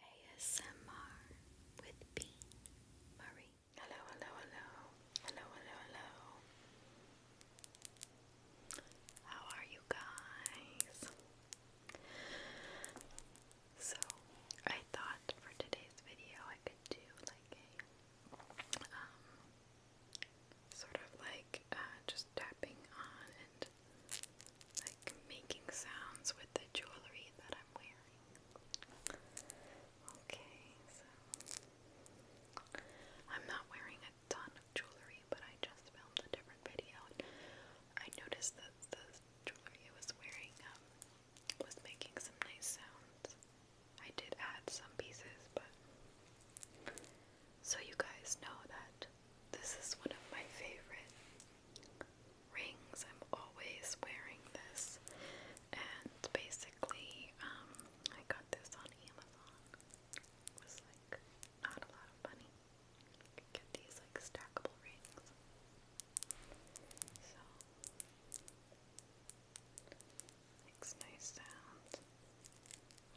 ASMR with Bean Marie. Hello, hello, hello. Hello, hello, hello. How are you guys? So, I thought for today's video I could do like a um, sort of like uh, just tapping on like making sounds with the jewelry that I'm wearing. Okay, so I'm not wearing a ton of jewelry, but I just filmed a different video I noticed that the jewelry I was wearing um, was making some nice sounds. I did add some pieces, but so you guys know that this is one of my favorite rings. I'm always wearing this, and basically, um, I got this on Amazon. It was like not a lot of money. get these like stackable rings. makes nice sound.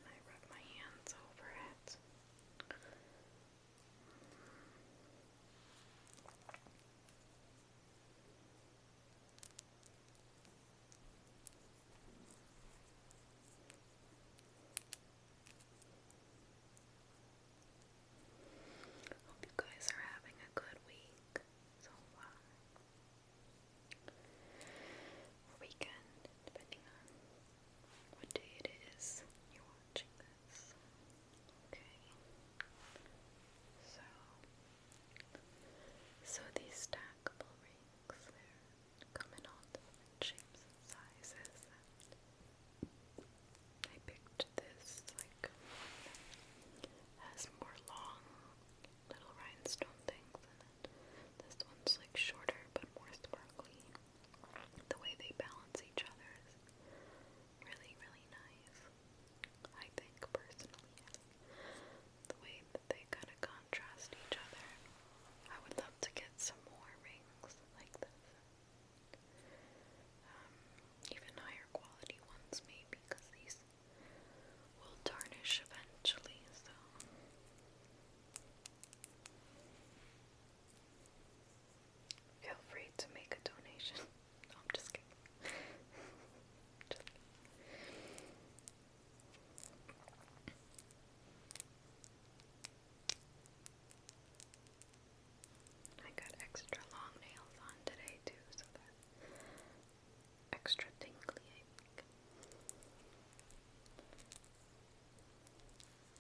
I rub my hands over it. Hope you guys are having a good week so weekend, depending on what day it is you're watching this. Okay. So, so these stackable rings, they come in all different shapes and sizes. I picked this, like, has more long little rhinestone things in it. This one's like shorter but more sparkly. The way they balance each other is really, really nice. I think, personally. The way that they kind of contrast each other. I would love to get some more rings like this. Um, even higher quality ones, maybe, because these will tarnish eventually, so. Feel free to make a donation. I'm just kidding. I got extra long nails on today too, so that extra tingly,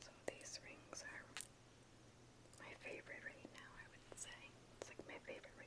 So these rings are my favorite right now, I would say. It's like my favorite rings.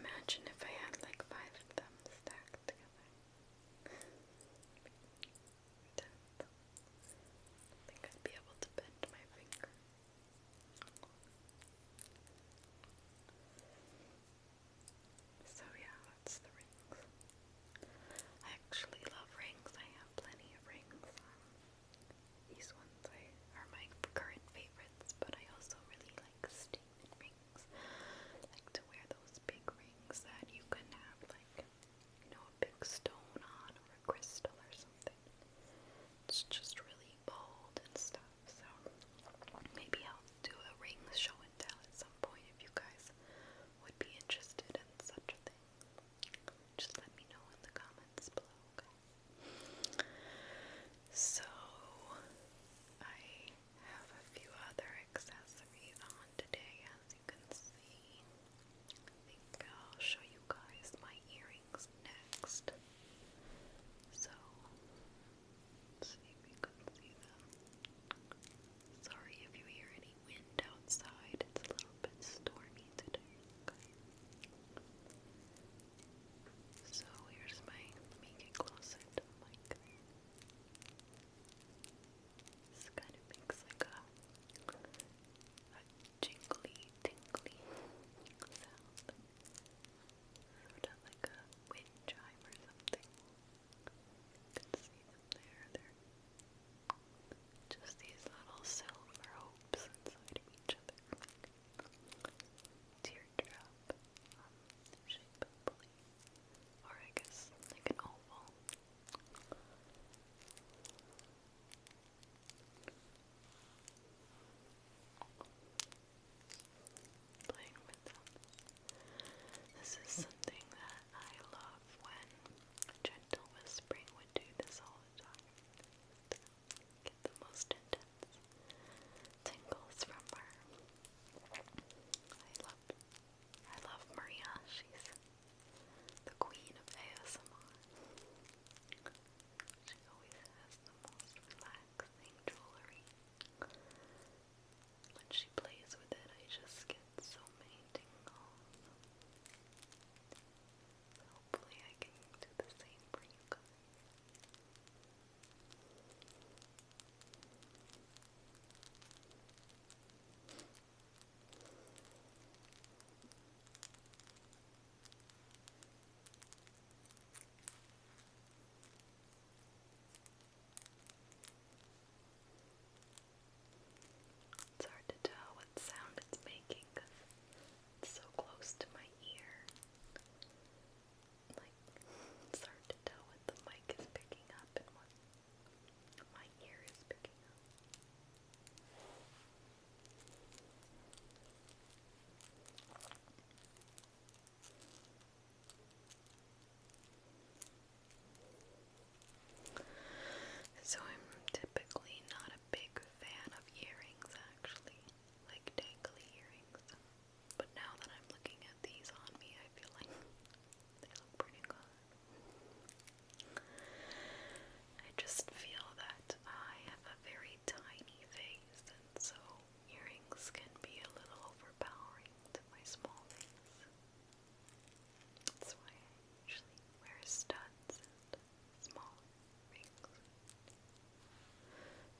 Imagine if I had like five of them stacked together. I think I'd be able to bend my finger. So yeah, that's the rings. I actually love rings. I have plenty of rings. Um, these ones I, are my current favorites, but I also really like statement rings. like to wear those big rings that you can have, like, you know, a big stone on or a crystal or something. It's just really bold and stuff, so maybe I'll do a ring show and tell at some point if you guys would be interested in such a thing. Just let me know in the comments below, so I have a few other accessories on today, as you can see. I think I'll show you guys my earrings next. So, see if you can see them. Sorry if you hear any wind outside, it's a little bit stormy today. So here's my make closet This kind of makes like a, jingly, tingly sound. Sort of like a wind chime or something. You can see them there. Just these little silver hopes inside each other. Teardrop um, shape, Or I guess like an oval. Playing with them. This is something that I love when gentle whispering would do this all the time. get the most intense tingles from her. I love I love Maria. She's the queen of ASMR. She always has the most relaxing jewelry. When she plays with it, I just get so many tingles. Hopefully I can do the same for you it's hard to tell what sound it's making because it's so close to my ear. Like, it's hard to tell what the mic is picking up and what my ear is picking up. So I'm typically not a big fan of earrings actually, like dangly earrings. But now that I'm looking at these on me, I feel like they look pretty good. I just feel that I have a very tiny face and so earrings can be a little overpowering to my small face. That's why I usually wear studs and small rings.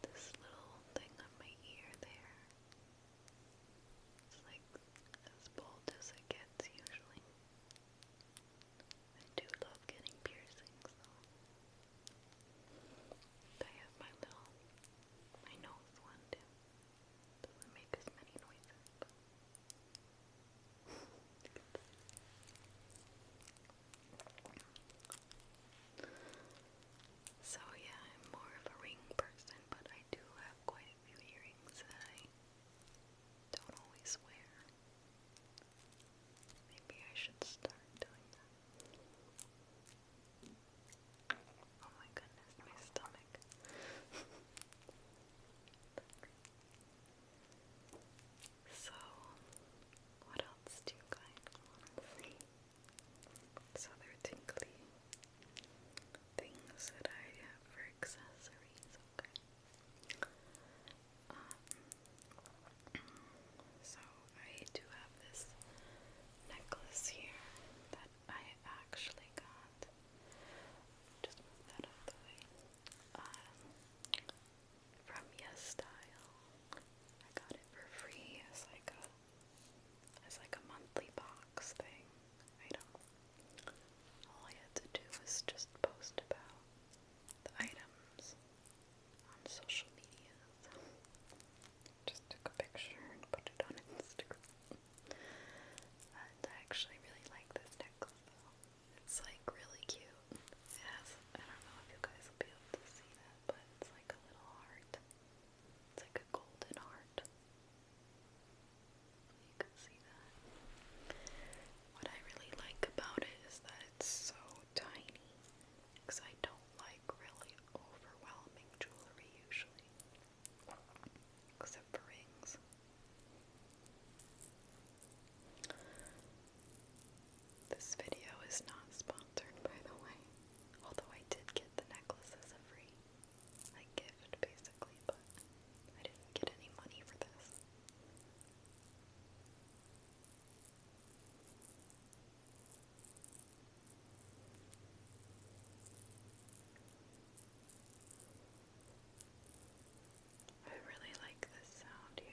This little thing on my ear there. It's like as bold as it gets usually. I do love getting piercings I have my little my nose one too. Doesn't make as many noises. So yeah, I'm more of a ring person, but I do have quite a few earrings that I don't always wear. Maybe I should start doing that. Oh my goodness, my stomach. So, what else do you guys want to see? So they things that I have for accessories, okay? Um, so I do have this necklace here that I actually got just move that out the way. Um, from Yes Style, I got it for free as like a as like a monthly box thing. I don't. All I had to do was just post about the items on social media. just took a picture and put it on Instagram. And I actually really like this necklace though. It's like really cute. It has, I don't know if you guys will be able to see that, but it's like a little heart. It's like a golden heart. You can see that. What I really like about it is that it's so tiny because I don't like really overwhelming jewelry usually. Except for rings. This video is not sponsored, by the way. Although I did get the necklace as a free like gift, basically, but I didn't get any money for this. I really like this sound here.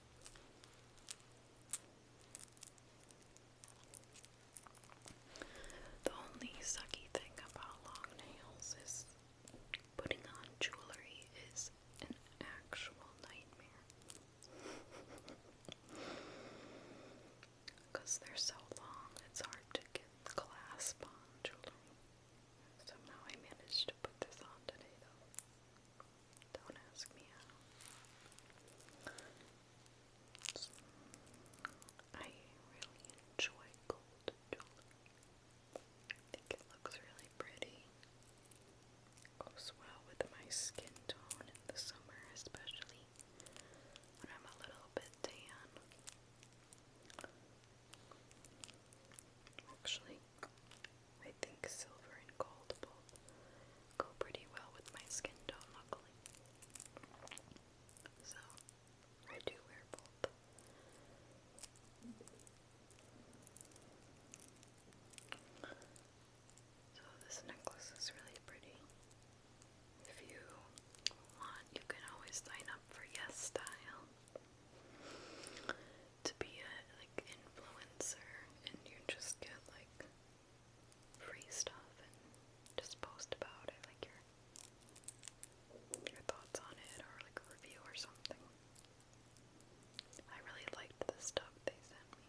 The only sucky thing about long nails is putting on jewelry is an actual nightmare. Because they're so long, it's hard to get the clasp on jewelry. Somehow I managed to put this on today, though. Don't ask me how. I really enjoy gold jewelry. I think it looks really pretty. Goes well with my skin tone in the summer, especially when I'm a little bit tan. Actually, I think silver and gold both go pretty well with my skin tone, luckily. So, I do wear both. So, this necklace is really pretty. If you want, you can always sign up for Yes Style to be a like influencer and you just get like free stuff and just post about it like your your thoughts on it or like a review or something. I really liked the stuff they sent me.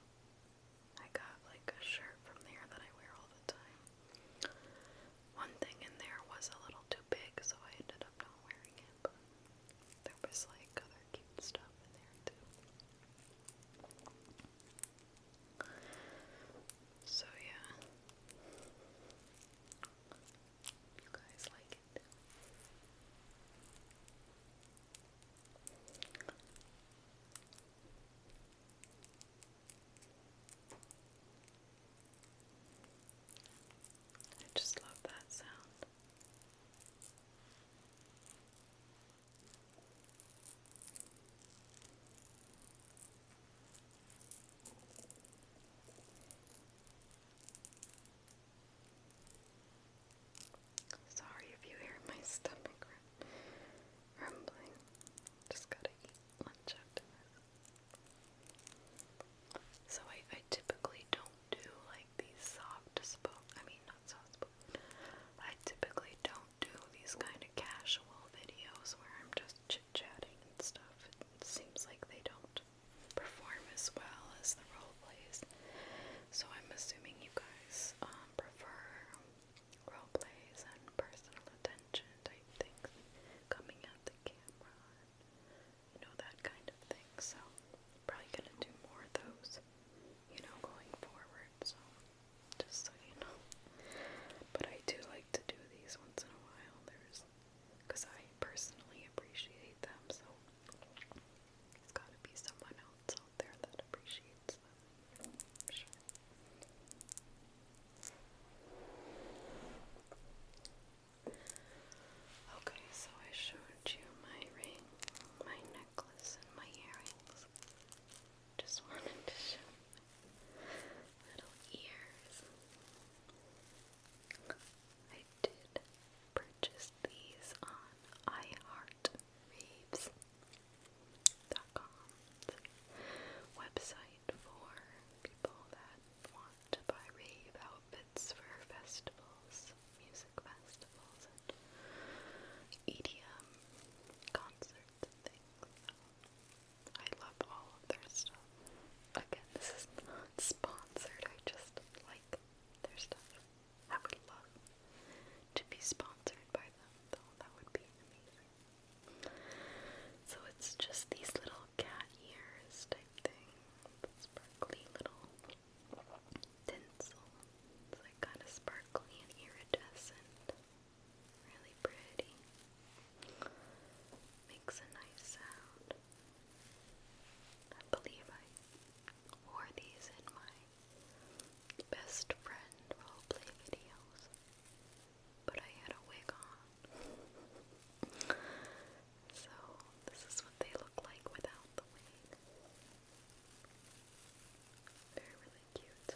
I got like a shirt from there that I wear all the time. One thing in there was a little too big, so I ended up not wearing it lamp. There was like other cute stuff in there too. So yeah. You guys like it. I just love that sound. Sorry if you hear my stomach rumbling. Just gotta eat lunch after this. So I, I typically don't do like these soft spoke, I mean not soft spoke, I typically don't do these kind of casual videos where I'm just chit-chatting and stuff. It seems like they don't perform as well as the role plays. So I'm assuming you guys um, prefer role plays and personal attention type things coming at the camera you know, that kind of thing. So, probably gonna do more of those, you know, going forward. So, just so you know. But I do like to do these once in a while. There's, because I personally appreciate them. So, there's gotta be someone else out there that appreciates them. I'm sure. Okay, so I showed you my ring, my necklace, and my earrings. Just wanted to show my little ears. I did purchase these on iHeartRaves.com website for people that want to buy rave outfits for festivals, music festivals, and EDM concerts things. I love all of their stuff. Again, this is not sponsored, I just like their stuff. I would love to be sponsored by them, though, that would be amazing. So it's just these little cat ears type thing. Sparkly little tinsel. It's like kind of sparkly and iridescent. Really pretty. Makes a nice sound. I believe I wore these in my best friend roleplay videos but I had a wig on. so, this is what they look like without the wig. they really cute.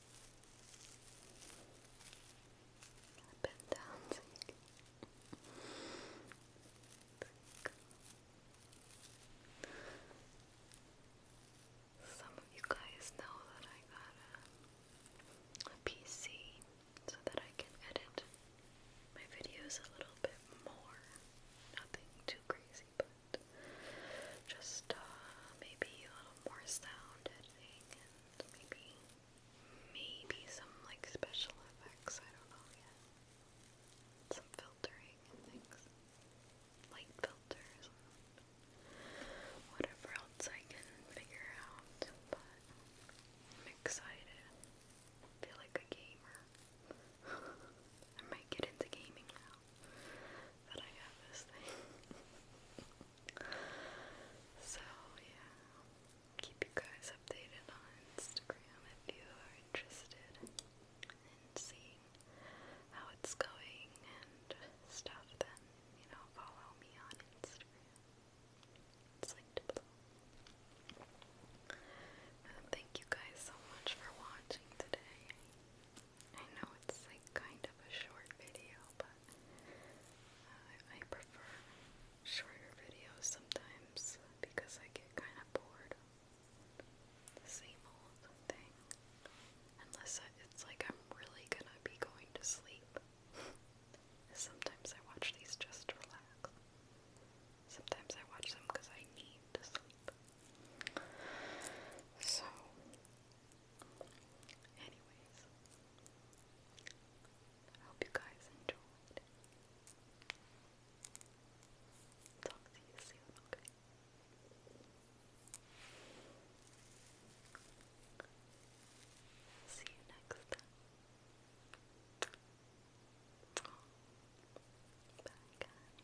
bend you Some of you guys know that I got a, PC so that I can edit my videos a little bit more. Nothing too crazy, but just uh, maybe more sound editing and maybe maybe some like special effects, I don't know yet. Some filtering and things. Light filters whatever else I can figure out, but I'm excited. feel like a gamer. I might get into gaming now that I have this thing. so, yeah, keep you guys updated on Instagram if you are interested in seeing how it's going and stuff, then, you know, follow me on Instagram. thank you guys so much for watching today. I know it's like kind of a short video, but uh, I prefer shorter videos sometimes because I get kind of bored same old thing. Unless I, it's like I'm really gonna be going to sleep. sometimes I watch these just to relax. Sometimes I watch them because I need to sleep. So, Anyways, I hope you guys enjoyed. Talk to you soon, okay? See you next time. Bye, guys.